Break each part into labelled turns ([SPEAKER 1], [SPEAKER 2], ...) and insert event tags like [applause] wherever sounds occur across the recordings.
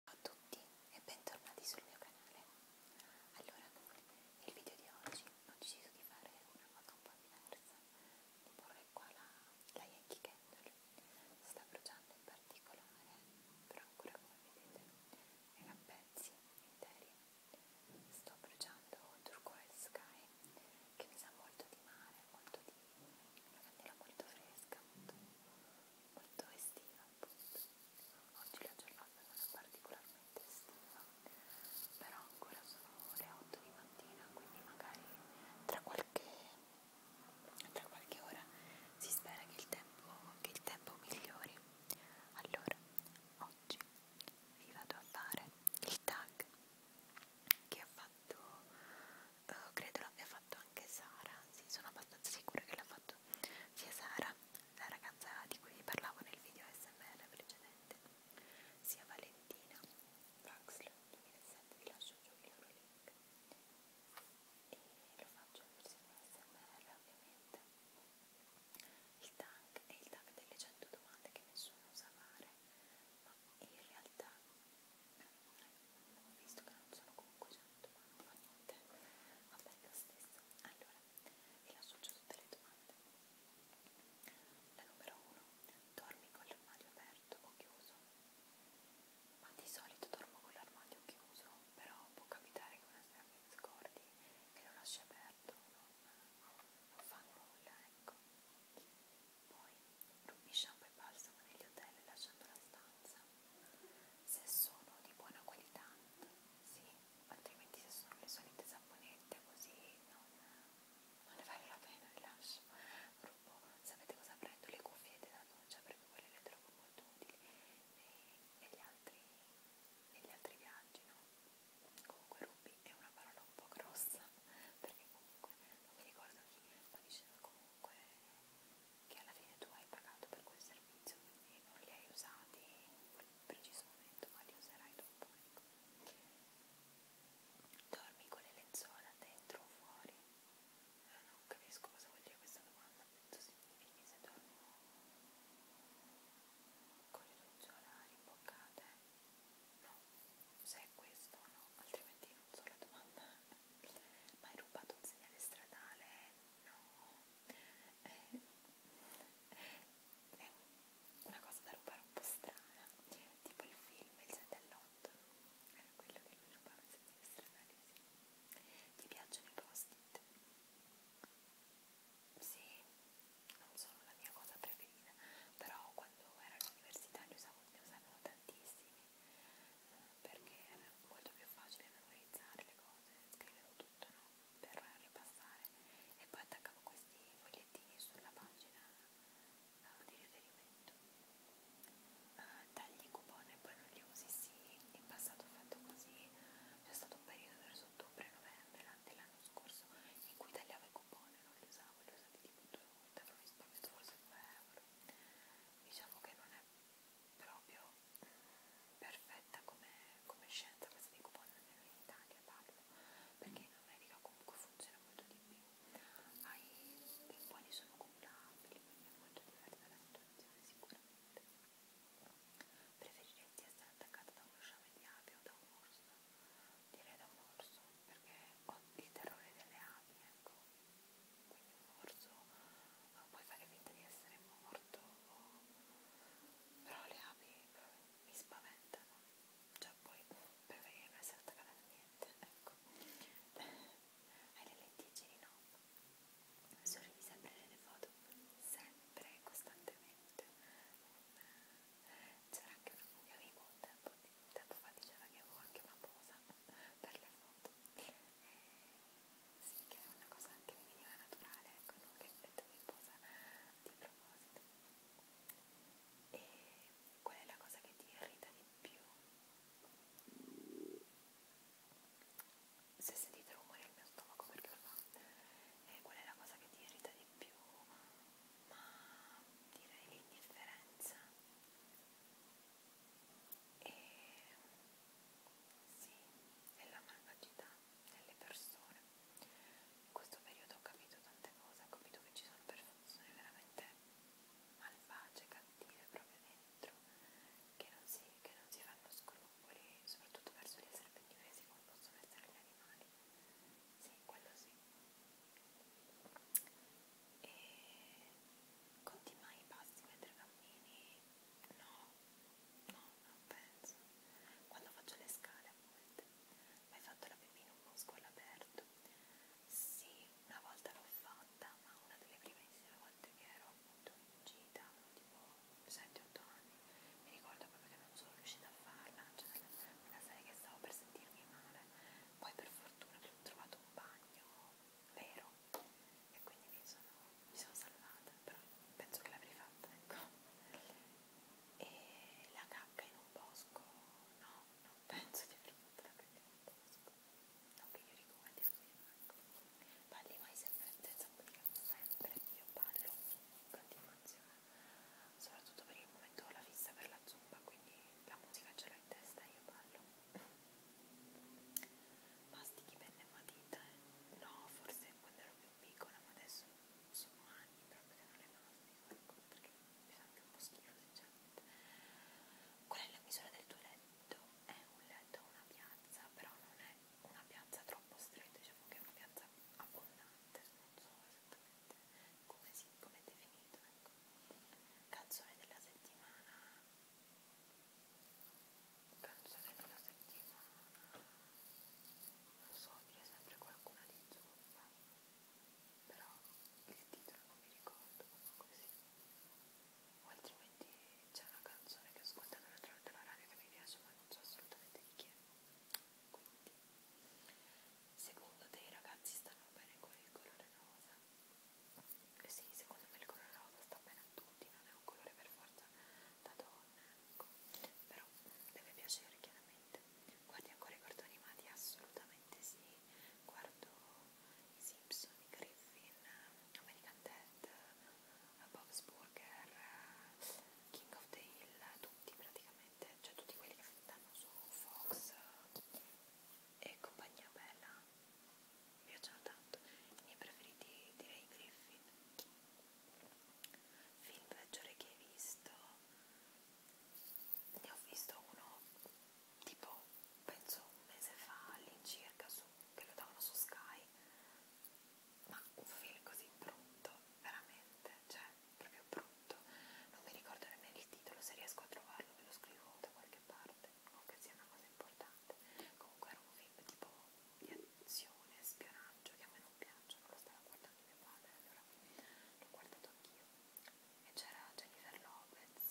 [SPEAKER 1] Ciao a tutti e bentornati sul mio canale. Allora, nel video di oggi ho deciso di fare una cosa un po' diversa. Di porre qua la, la Yankee Candle. Sta bruciando in particolare, però ancora come vedete è a pezzi interi. Sto bruciando Turquoise Sky, che mi sa molto di mare, molto di una candela molto fresca, molto, molto estiva appunto Oggi la giornata non è particolarmente estiva, però ancora sono le 8 di mattina, quindi magari tra qualche, tra qualche ora si spera che il tempo, che il tempo migliori. Allora, oggi vi vado a fare il tag che ha fatto, eh, credo l'abbia fatto anche Sara, sì, sono abbastanza sicura che l'ha fatto saluto sia Sara, la ragazza di cui vi parlavo nel video SMR precedente, sia Valentina Vaxler 2007, vi lascio giù il loro link e lo faccio in versione SMR ovviamente. Il tag è il tag delle 100 domande che nessuno sa fare, ma in realtà visto che non sono comunque 100 ma non fa niente vabbè lo stesso allora vi lascio giù tutte le domande la numero 1 dormi con l'armadio aperto o chiuso ma di solito dormo con l'armadio chiuso però può capitare che una sera mi scordi e lo lasci aperto non, non fa nulla ecco poi rubi shampoo e balsamo negli hotel lasciando la stanza se sono di buona qualità, sì, altrimenti se sono le solite saponette così non, non ne vale la pena, le lascio. Rubo, sapete cosa prendo? Le cuffiette da doccia perché quelle le trovo molto utili negli altri, negli altri viaggi, no? Comunque rubi è una parola un po' grossa perché comunque non mi ricordo chi, ma diceva comunque che alla fine tu hai pagato per quel servizio, quindi non li hai usati in quel preciso momento, ma li userai dopo. Ecco. Dormi con le lenzuola dentro o fuori? Eh, non capisco cosa vuol dire questa domanda, penso significhi se dormo con le lenzuola rimboccate. No, se è questo no, altrimenti non so la domanda. [laughs] Ma hai rubato un segnale stradale? No eh, è una cosa da rubare un po' strana, tipo il film Il 7 all'8, era quello che lui rubava in stranalisi. Ti piacciono i post-it? Sì, non sono la mia cosa preferita, però quando ero all'università li usavo, ne usavo tantissimi perché era molto più facile memorizzare le cose, scrivevo tutto no? per ripassare e poi attaccavo questi fogliettini sulla pagina uh, di riferimento. Uh, eh, tagli i coupon e poi non li usi, sì, in passato ho fatto così, c'è stato un periodo verso ottobre novembre dell'anno scorso in cui tagliavo i coupon e non li usavo, li ho usati tipo due volte, avrò risparmiato forse 2 euro. Diciamo che non è proprio mh, perfetta come, come scienza questa di coupon almeno in Italia parlo perché in America comunque funziona molto di più Hai, i buoni sono cumulabili quindi è molto diversa la situazione sicuramente preferiresti essere attaccata da uno sciame di api o da un orso? direi da un orso perché ho il terrore delle api ecco quindi morso, puoi fare finta di essere morto, o... però le api mi spaventano, cioè poi preferire non essere attaccata a niente, ecco, hai le lentiggini no, sorridi sempre nelle foto, sempre, costantemente, c'era anche una mio amico un tempo, un tempo fa diceva che avevo anche una posa per le foto sì che è una cosa anche minima naturale, ecco, non che effetto mi posa di proposito. E qual è la cosa che ti irrita di più? Se sentite rumore al mio stomaco perché lo fa, e qual è la cosa che ti irrita di più? Ma direi l'indifferenza. E sì, nella malvagità delle persone. In questo periodo ho capito tante cose, ho capito che ci sono persone veramente malvagie, cattive proprio dentro, che non si, che non si fanno scrupoli, soprattutto verso gli esseri presi come possono essere gli animali. Sì, quello sì. E conti mai i passi mentre cammini? No, no, non penso. Quando faccio le scale a volte, hai fatto la pipì in un musco all'aperto? Sì, una volta l'ho fatta, ma una delle primissime volte che ero appunto in gita, tipo 7-8 anni, mi ricordo proprio che non sono riuscita a farla, cioè una serie che stavo per sentirmi male. Poi per fortuna ho trovato un bagno vero e quindi mi sono, mi sono salvata, però penso che l'avrei fatta, ecco. E la cacca in un bosco, no, non penso di aver fatto la cacca in un bosco, non che io ricordi almeno, ecco. Parli mai sempre senza modificarlo sempre, io parlo in continuazione, soprattutto per il momento ho la fissa per la zumba, quindi la musica ce l'ho in testa e io parlo. [laughs] Mastichi, penne e matita vita, eh. no, forse quando ero più piccola, ma adesso sono anni proprio che non le mastico, ecco, perché mi fa anche un po' schifo sinceramente. Qual è la misura del tuo letto? È un letto a una piazza, però non è una piazza troppo stretta, diciamo che è una piazza abbondante, non so esattamente come, si, come è definito, ecco. Canzone della settimana penso che nella settimana non so dire sempre qualcuna di zuppa però il titolo non mi ricordo così o altrimenti c'è una canzone che ho ascoltato l'altra volta alla radio che mi piace ma non so assolutamente di chi è quindi secondo te i ragazzi stanno bene con il colore rosa? Eh sì, secondo me il colore rosa sta bene a tutti, non è un colore per forza da donna, ecco. però deve piacere chiaramente. Guardi ancora i cartoni animati? Assolutamente sì. Guardo i Simpson, i Griffin, American Dad, eh, Bob's Burger, eh, King of the Hill, tutti praticamente, cioè tutti quelli che danno su Fox eh, e compagnia bella mi piacciono tanto i miei preferiti direi Griffin film peggiore che hai visto ne ho visto uno tipo penso un mese fa all'incirca che lo davano su Sky ma un film così brutto veramente cioè proprio brutto non mi ricordo nemmeno il titolo se riesco a trovarlo ve lo scrivo da qualche parte non che sia una cosa importante interessante comunque era un film tipo di azione, spionaggio che a me non piacciono, lo stava guardando mio padre allora l'ho guardato anch'io e c'era Jennifer Lopez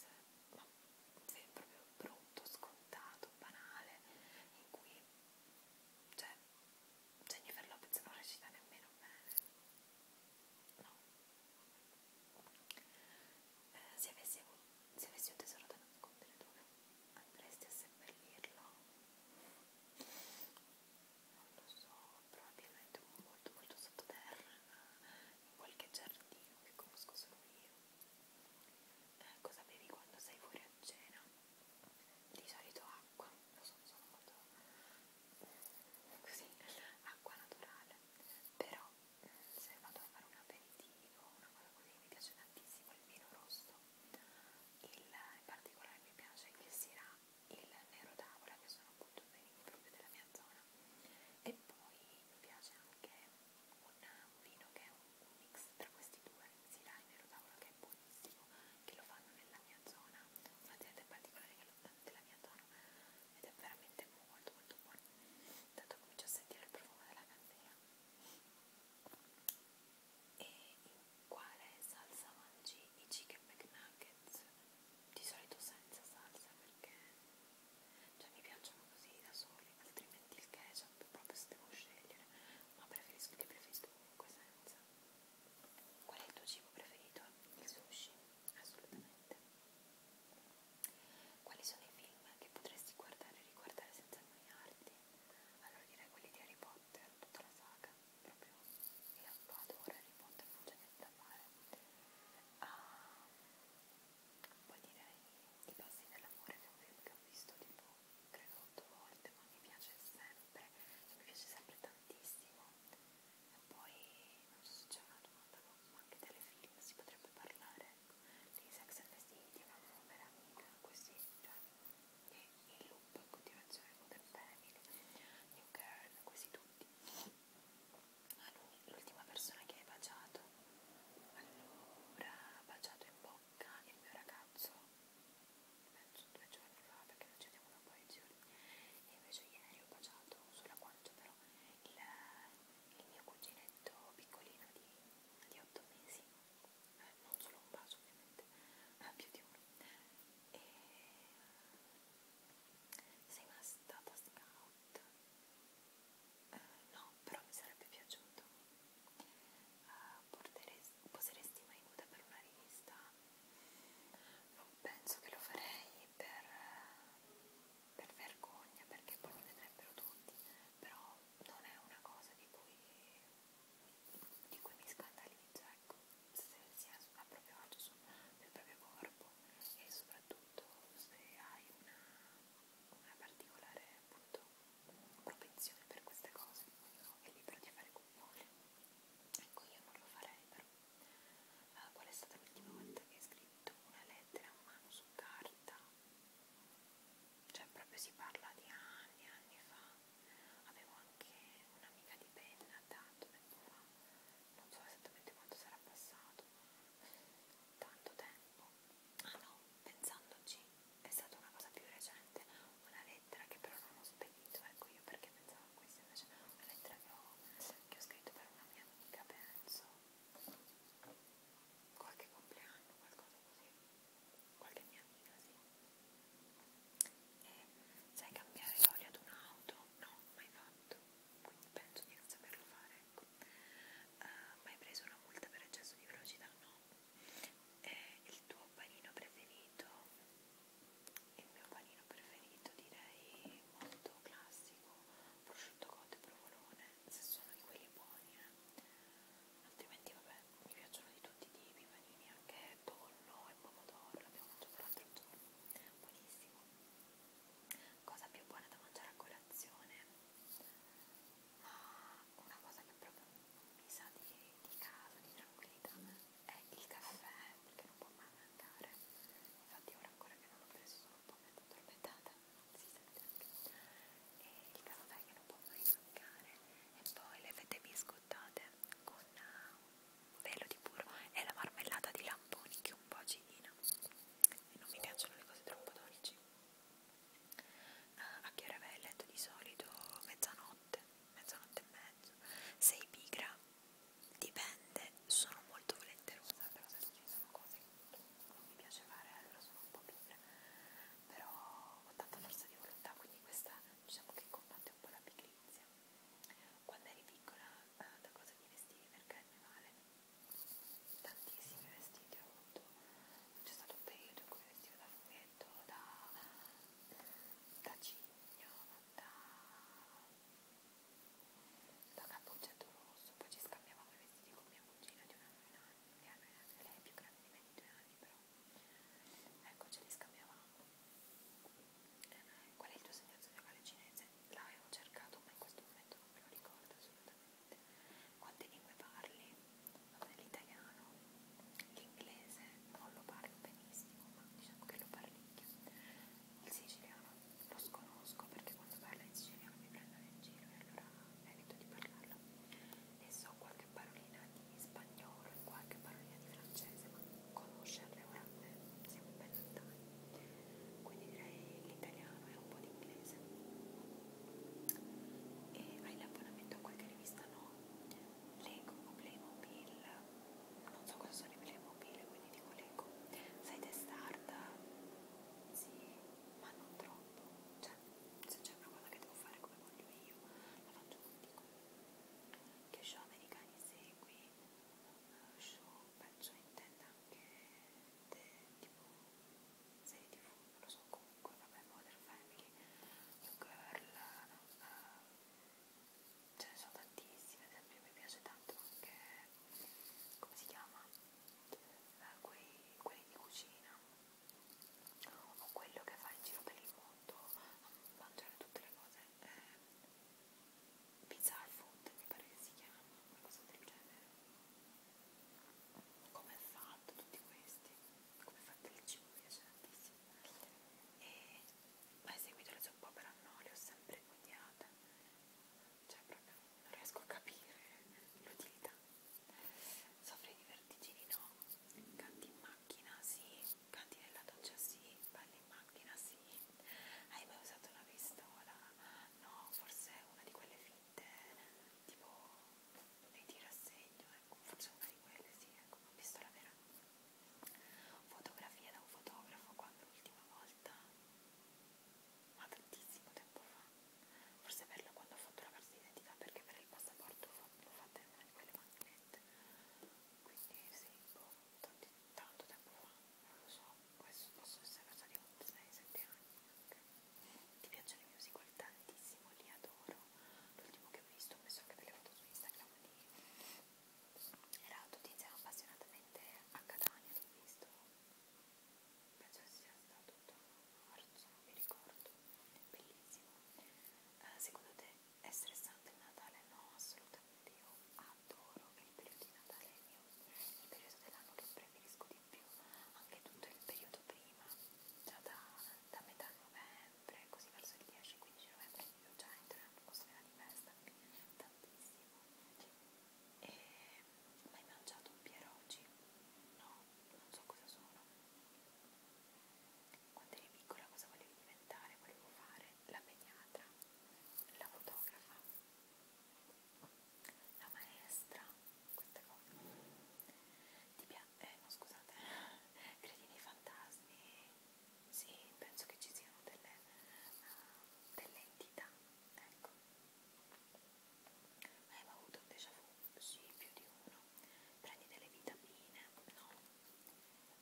[SPEAKER 1] ma un film proprio brutto, scontato, banale in cui cioè Jennifer Lopez non recita nemmeno bene no eh, se avessi, se avessi un tesoro da nascondere dove andresti a seppellirlo? Non lo so, probabilmente molto molto sottoterra, in qualche giardino che conosco solo io. Eh, cosa bevi quando sei fuori a cena? Di solito acqua, lo so, sono molto così, acqua naturale, però se vado a fare un aperitivo, una cosa così, mi piace tantissimo il vino rosso il, in particolare mi piace che sia il nero d'avola che sono appunto vini proprio della mia zona e poi mi piace anche un, un vino che è un, un mix tra questi due, si dà il nero d'avola che è buonissimo, che lo fanno nella mia zona, un'azienda in particolare che lo fa nella mia zona ed è veramente molto molto buono, tanto comincio a sentire il profumo della candela e in quale salsa mangi i chicken McNuggets di solito senza salsa perché cioè mi piacciono così da soli altrimenti il ketchup proprio se devo scegliere ma preferisco che preferisco comunque senza qual è il tuo cibo preferito? il sushi? assolutamente quali sono i film che potresti guardare e riguardare senza annoiarti? Quindi, allora direi quelli di Harry Potter, tutta la saga, proprio io adoro Harry Potter, non c'è niente da fare. Ah, poi direi I passi dell'amore, che è un film che ho visto tipo, credo, otto volte, ma mi piace sempre, cioè, mi piace sempre tantissimo. E poi, non so se c'è una domanda, ma anche telefilm si potrebbe parlare ecco, di Sex and the City, una povera amica, così, cioè, e il loop in continuazione Modern Family, New Girl, quasi tutti ma ah, lui, l'ultima persona che hai baciato allora, baciato in bocca il mio ragazzo penso due giorni fa perché non ci vediamo da un po' di giorni e invece ieri ho baciato sulla guancia però il, il mio cuginetto piccolino di, di 8 mesi eh, non solo un vaso ovviamente, ma più di uno. E eh, sei mai stata scout? Eh, no, però mi sarebbe piaciuto. Uh, porteresti, poseresti mai nuda per una rivista? Non penso che lo farei per, per vergogna, perché poi mi vedrebbero tutti, però non è una cosa di cui di cui mi scandalizza, ecco, se si è a proprio agio sul, sul proprio corpo e soprattutto se hai una, una particolare appunto propensione per queste cose è libero di fare come vuole. Ecco, io non lo farei però. Uh, qual è stata l'ultima volta che hai scritto una lettera a mano su carta? cioè proprio si parla di anni, anni fa, avevo anche un'amica di penna tanto tempo fa, non so esattamente quanto sarà passato, tanto tempo, ah no, pensandoci, è stata una cosa più recente, una lettera che però non ho spedito, ecco io perché pensavo a questa invece una lettera che ho, che ho scritto per una mia amica, penso, qualche compleanno, qualcosa così qualche mia amica, sì. E sai cambiare l'olio ad un'auto? No, mai fatto, quindi penso di non saperlo fare, ecco. Uh, mai preso una multa per eccesso di velocità? No. E il tuo panino preferito? Il mio panino preferito direi molto classico, prosciutto cotto e provolone, se sono di quelli buoni, eh altrimenti vabbè mi piacciono di tutti i tipi, panini anche tonno e pomodoro, l'abbiamo mangiato l'altro giorno, buonissimo. Cosa più buona da mangiare a colazione, ma una cosa che proprio mi sa di, di caso, di tranquillità, è il caffè, perché non può mai mancare. Infatti ora ancora che non l'ho preso sono un po' mezzo addormentata, si sente anche e il caffè che non può mai mancare e poi le fette biscottate con eh, un velo di burro e la marmellata di lamponi che è un po' acidina e non mi piacciono le cose troppo dolci uh, a che ora vai a letto di solito? mezzanotte mezzanotte e mezzo sei pigra? dipende sono molto volenterosa però se ci sono cose che non mi piace fare allora sono un po' pigra però ho tanta forza di volontà, quindi questa diciamo che combatte un po' la pigrizia. Quando eri piccola eh, da cosa ti vestivi per carnevale? Tantissimi vestiti ho avuto, c'è stato un periodo in cui vestivo da fumetto, da, da cigno, da, da cappuccetto rosso, poi ci scambiavamo i vestiti con mia cugina di un anno in anno, lei è più grande di me di due anni però Ecco, ce li scambiavamo. Qual è il tuo segno zodiacale cinese? L'avevo cercato, ma in questo momento non me lo ricordo assolutamente. Quante lingue parli? Vabbè, l'italiano, l'inglese non lo parlo benissimo, ma diciamo che lo parlicchio. Il siciliano lo sconosco perché quando parla in siciliano mi prendono in giro e allora evito di parlarlo. E so quando qualche parolina di spagnolo e qualche parolina di francese, ma conoscerle veramente eh, siamo ben lontani. Quindi direi l'italiano e un po' di inglese. E hai l'abbonamento a qualche rivista? No, leggo o Playmobil, non so cosa sono i Playmobil, quindi dico leggo. Sei testarda? Sì, ma non troppo. Cioè, se c'è una cosa che devo fare come voglio io, la faccio come dico che show americani segui eh, show penso intenda anche de, tipo serie tv non lo so comunque vabbè Modern Family New Girl uh, ce ne sono tantissime ad esempio mi piace tanto anche come si chiama uh, eh, quelli, quelli di cucina o quello che fa in giro per il mondo a mangiare tutte le cose eh, pizza al food mi pare che si chiama una cosa del genere come è fatto tutti questi come è fatto il cibo mi piace tantissimo e ho eseguito le sue opere no le ho sempre odiate cioè proprio non riesco a capire l'utilità soffri di vertigini no Canti in macchina? Sì. Canti nella doccia? Sì. Balli in macchina? Sì. Hai mai usato una pistola? No, forse una di quelle finte, tipo nei tiri a segno, ecco, forse una di quelle, sì, ecco, una pistola vera. Fotografia da un fotografo quando l'ultima volta? Ma tantissimo tempo fa. Forse per la quando ho fatto la carta d'identità, perché per il passaporto l'ho fatta in una di quelle macchine quindi sì, boh, tanti, tanto tempo fa, non lo so, questo posso essere cosa di 6-7 anni anche. Ti piacciono i musical tantissimo, li adoro. L'ultimo che ho visto, ho messo anche delle foto su Instagram di era tutti insieme appassionatamente a Catania, l'ho visto. Penso che sia stato tutto a marzo, non mi ricordo. Bellissimo. Uh, secondo te è stressante il Natale? No, assolutamente. Io adoro il periodo di Natale, è il periodo dell'anno che preferisco di più, anche tutto il periodo prima, già da, da metà novembre, così verso il 10-15 novembre, io già entro in atmosfera di festa, tantissimo. E mai mangiato pierogi? No, non so cosa sono quando eri piccola cosa volevi diventare, volevo fare la pediatra, la fotografa, la maestra, queste cose. Ti piace? Eh, no scusate, [laughs] credi nei fantasmi? Sì, penso che ci siano delle, uh, delle entità, ecco. Ma hai avuto un déjà vu? Sì, più di uno prendi delle vitamine, no?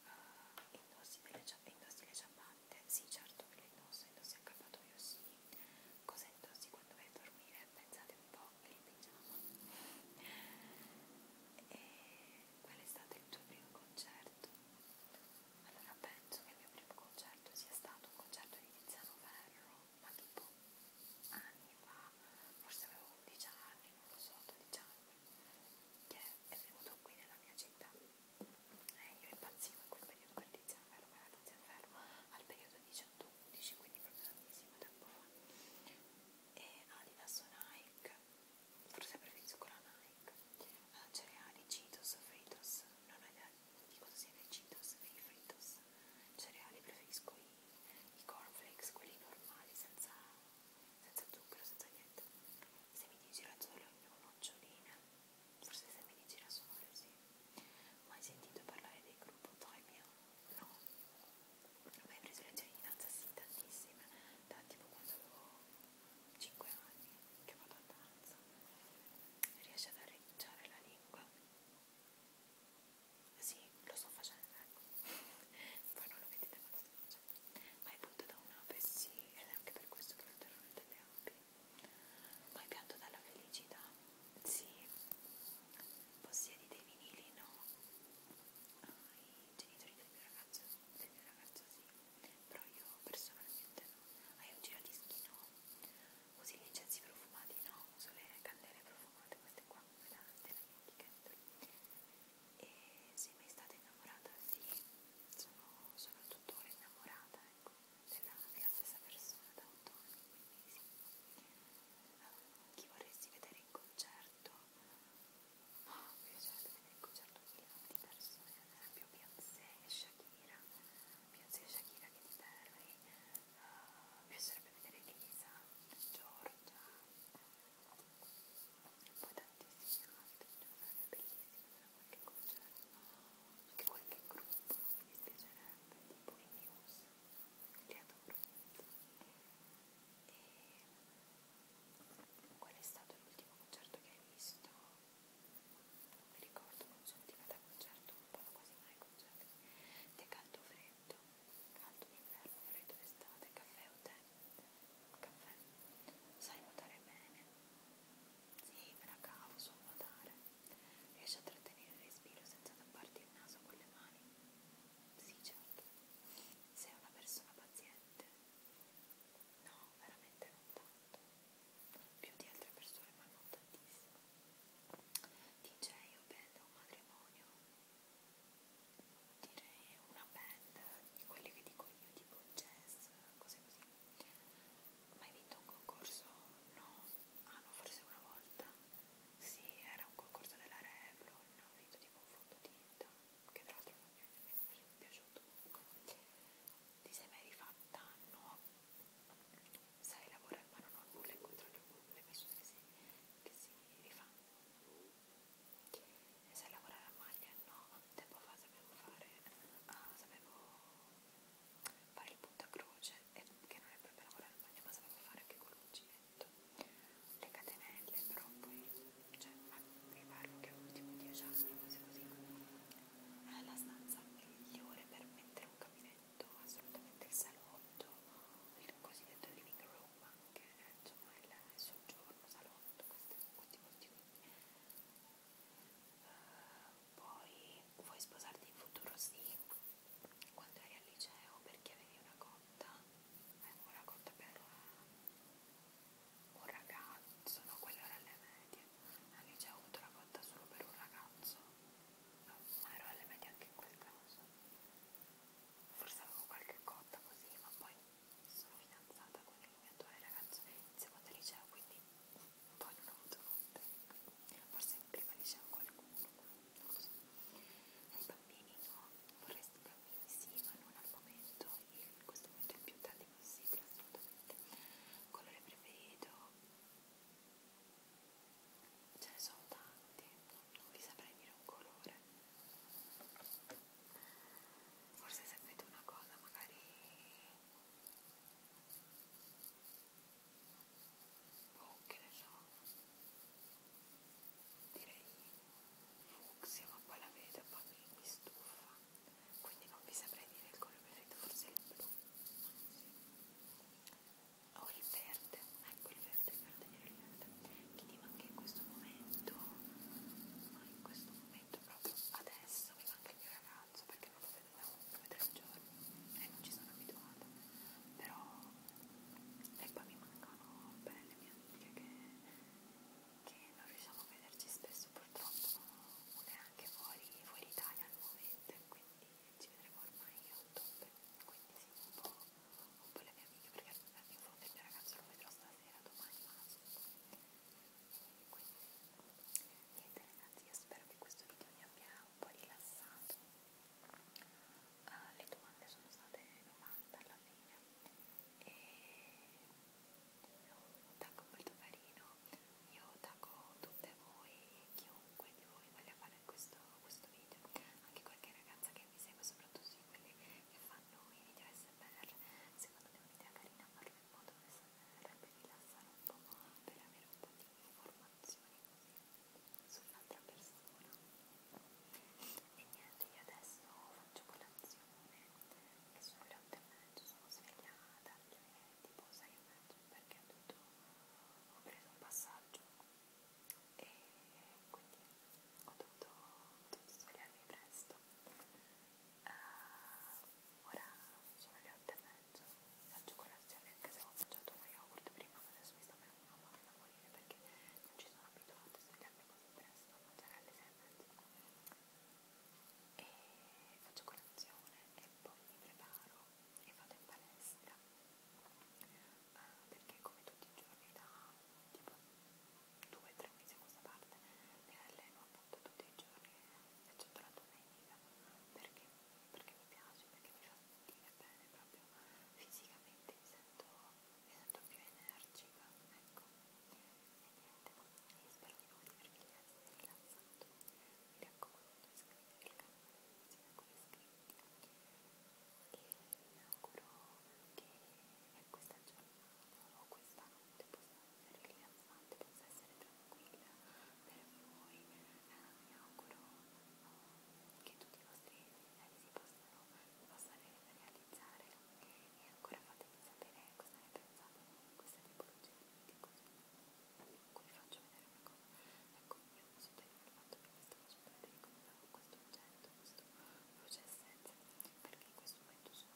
[SPEAKER 1] Uh, indossi, delle, indossi le ciabatte, sì certo che le indosso, indossi anche il fatto io sì. Cosa indossi quando vai a dormire? Pensate un po' il pigiama. E qual è stato il tuo primo concerto? Allora penso che il mio primo concerto sia stato un concerto di Tiziano Ferro, ma tipo anni fa, forse avevo 11 anni, non lo so, 12 anni, che è venuto qui nella mia città e eh, io impazzivo in quel periodo per l'inferno, era l'inferno al periodo 18-11, quindi proprio tantissimo tempo fa e Adidas o Nike, forse preferisco la Nike ah, cereali, Cheetos, Fritos, non ho idea di cosa siano i Cheetos e i Fritos cereali preferisco i, i cornflakes, quelli normali senza senza zucchero, senza niente. Se mi dici la sola è un'occiolina, forse se mi dici la sola sì. Mai sentito parlare del gruppo Toimia? No. Non ho mai preso la cittadinanza sì, tantissime, da tipo quando avevo 5 anni che vado a danza. Riesci ad arricciare la lingua? Sì, lo sto facendo voi non lo vedete ma lo sto facendo. Ma è punto da un'ape, sì, ed è anche per questo che lo terrore delle api. Ma è pianto dalla felicità, sì. Possiedi dei vinili, no? Ai ah, genitori del mio ragazzo, del mio ragazzo sì, però io personalmente no. Hai ah, un giradischi, no? Usi gli incensi profumati, no? Uso le candele profumate, queste qua, quelle della mia etichetta e se mai state innamorata di sì, sono, sono tuttora innamorata ecco, della, della stessa persona da 8 anni, quindi sì. Uh, chi vorresti vedere in concerto? Oh, mi piacerebbe vedere in concerto un milione di persone, ad esempio Beyoncé e Shakira, Beyoncé e Shakira che ti Perry, uh, ah, mi piacerebbe vedere Elisa, Giorgia, poi tantissimi altri giornali bellissimi da qualche concerto anche qualche gruppo mi piacerebbe tipo i news li adoro e qual è stato l'ultimo concerto che hai visto? non mi ricordo non sono diventata concerto non vado quasi mai a concerti De Caldo Freddo caldo d'inverno, freddo d'estate, caffè o tè? Caffè. Sai nuotare bene? Sì, me la cavo, so nuotare. Riesci a trattenere il respiro senza tapparti il naso con le mani? Sì, certo. Sei una persona paziente? No, veramente non tanto. Più di altre persone, ma non tantissimo. DJ o band o matrimonio? direi una band di quelle che dico io tipo jazz, cose così. Mai vinto un concorso? No, ah no, forse una volta. Sì, era un concorso della Revlon, ho vinto tipo un fondotinta, che tra l'altro non mi è nemmeno piaciuto comunque. Ti sei mai rifatta? No. Sai lavorare ma non ho nulla incontrato nulla, ho messo che si, che si rifanno e sai lavorare a maglia? No, tempo fa sapevo fare, ah, sapevo fare il punto a croce, e che non è proprio lavorare a maglia, ma sapevo fare anche col uncinetto, le catenelle, però poi, cioè, ma vi parlo che all'ultimo 10 anni, cose così, è eh, la stanza migliore per mettere un gabinetto, assolutamente il salotto, il cosiddetto living room, anche eh, insomma il soggiorno, salotto molto questi, questi motivi uh, eh, poi vuoi sposarti in futuro sì quando eri al liceo perché avevi una cotta avevo eh, una cotta per un ragazzo no quella era alle medie al liceo ho avuto la cotta solo per un ragazzo no, ma ero alle medie anche in quel caso forse avevo qualche cotta così ma poi sono fidanzata con il mio attuale ragazzo in seconda liceo, quindi poi non ho avuto notte, forse in prima liceo qualcuno, non lo so. E i bambini no, vorresti bambini sì, ma non al momento, in questo momento il più tardi possibile, assolutamente. Colore preferito? Ce ne sono tanti, non vi saprei dire un colore. Forse sapete una cosa, magari boh, che ne so, direi fucsia, ma poi la vedo e poi mi stufa, quindi non vi saprei dire il colore preferito, forse il blu, o il verde, ecco il verde per tenere l'erda quindi manca in questo momento ma in questo momento proprio adesso mi manca il mio ragazzo perché non lo vedo da due tre giorni e eh, non ci sono abituata però e poi mi mancano belle mie amiche che, che non riusciamo a vederci spesso purtroppo una è anche fuori, fuori Italia al momento quindi ci vedremo ormai a ottobre quindi sì un po', un po le mie amiche perché in fondo il mio ragazzo lo vedrò sta stasera, domani massimo. Quindi, niente ragazzi, io spero che questo video vi abbia un po' rilassato. Uh, le domande sono state 90 alla fine e un tacco molto carino. Io tacco tutte voi, chiunque di voi voglia fare questo, questo video, anche qualche ragazza che mi segue soprattutto di quelli che fanno i video SMR secondo me è un'idea carina farlo in modo che sarebbe rilassare un po' per avere un po' di informazioni così sull'altra persona e niente io adesso faccio colazione e sono le 8 e mezzo sono svegliata alle tipo 6 e mezzo perché tutto ho preso un passaggio e quindi ho dovuto, dovuto svegliarmi presto uh, ora sono le 8 e mezzo faccio colazione anche se ho mangiato lo yogurt prima ma adesso mi sta venendo una mano da morire perché non ci sono abituata a svegliarmi così presto a mangiare alle 6 e mezzo e faccio colazione e poi mi preparo e vado in palestra uh, perché come tutti i giorni da tipo due o tre mesi a questa parte mi alleno appunto tutti i giorni eccetto la domenica perché, perché mi piace, perché mi fa sentire bene proprio fisicamente mi sento, mi sento più energica ecco e niente e spero di non avervi rilassato mi raccomando iscrivetevi al canale insieme con iscritti e mi auguro che ecco, questa giornata o questa notte possa essere rilassante, possa essere tranquilla per voi. Eh, mi auguro oh, che tutti i vostri desideri si possano, possano realizzare e ancora fatemi sapere cosa ne pensate di questa tipologia di video così. Comunque vi faccio vedere una cosa. Ecco, io mi sono tenuto il fatto che mi stavo assolutamente ricordando questo oggetto, questo processetto, perché in questo momento sono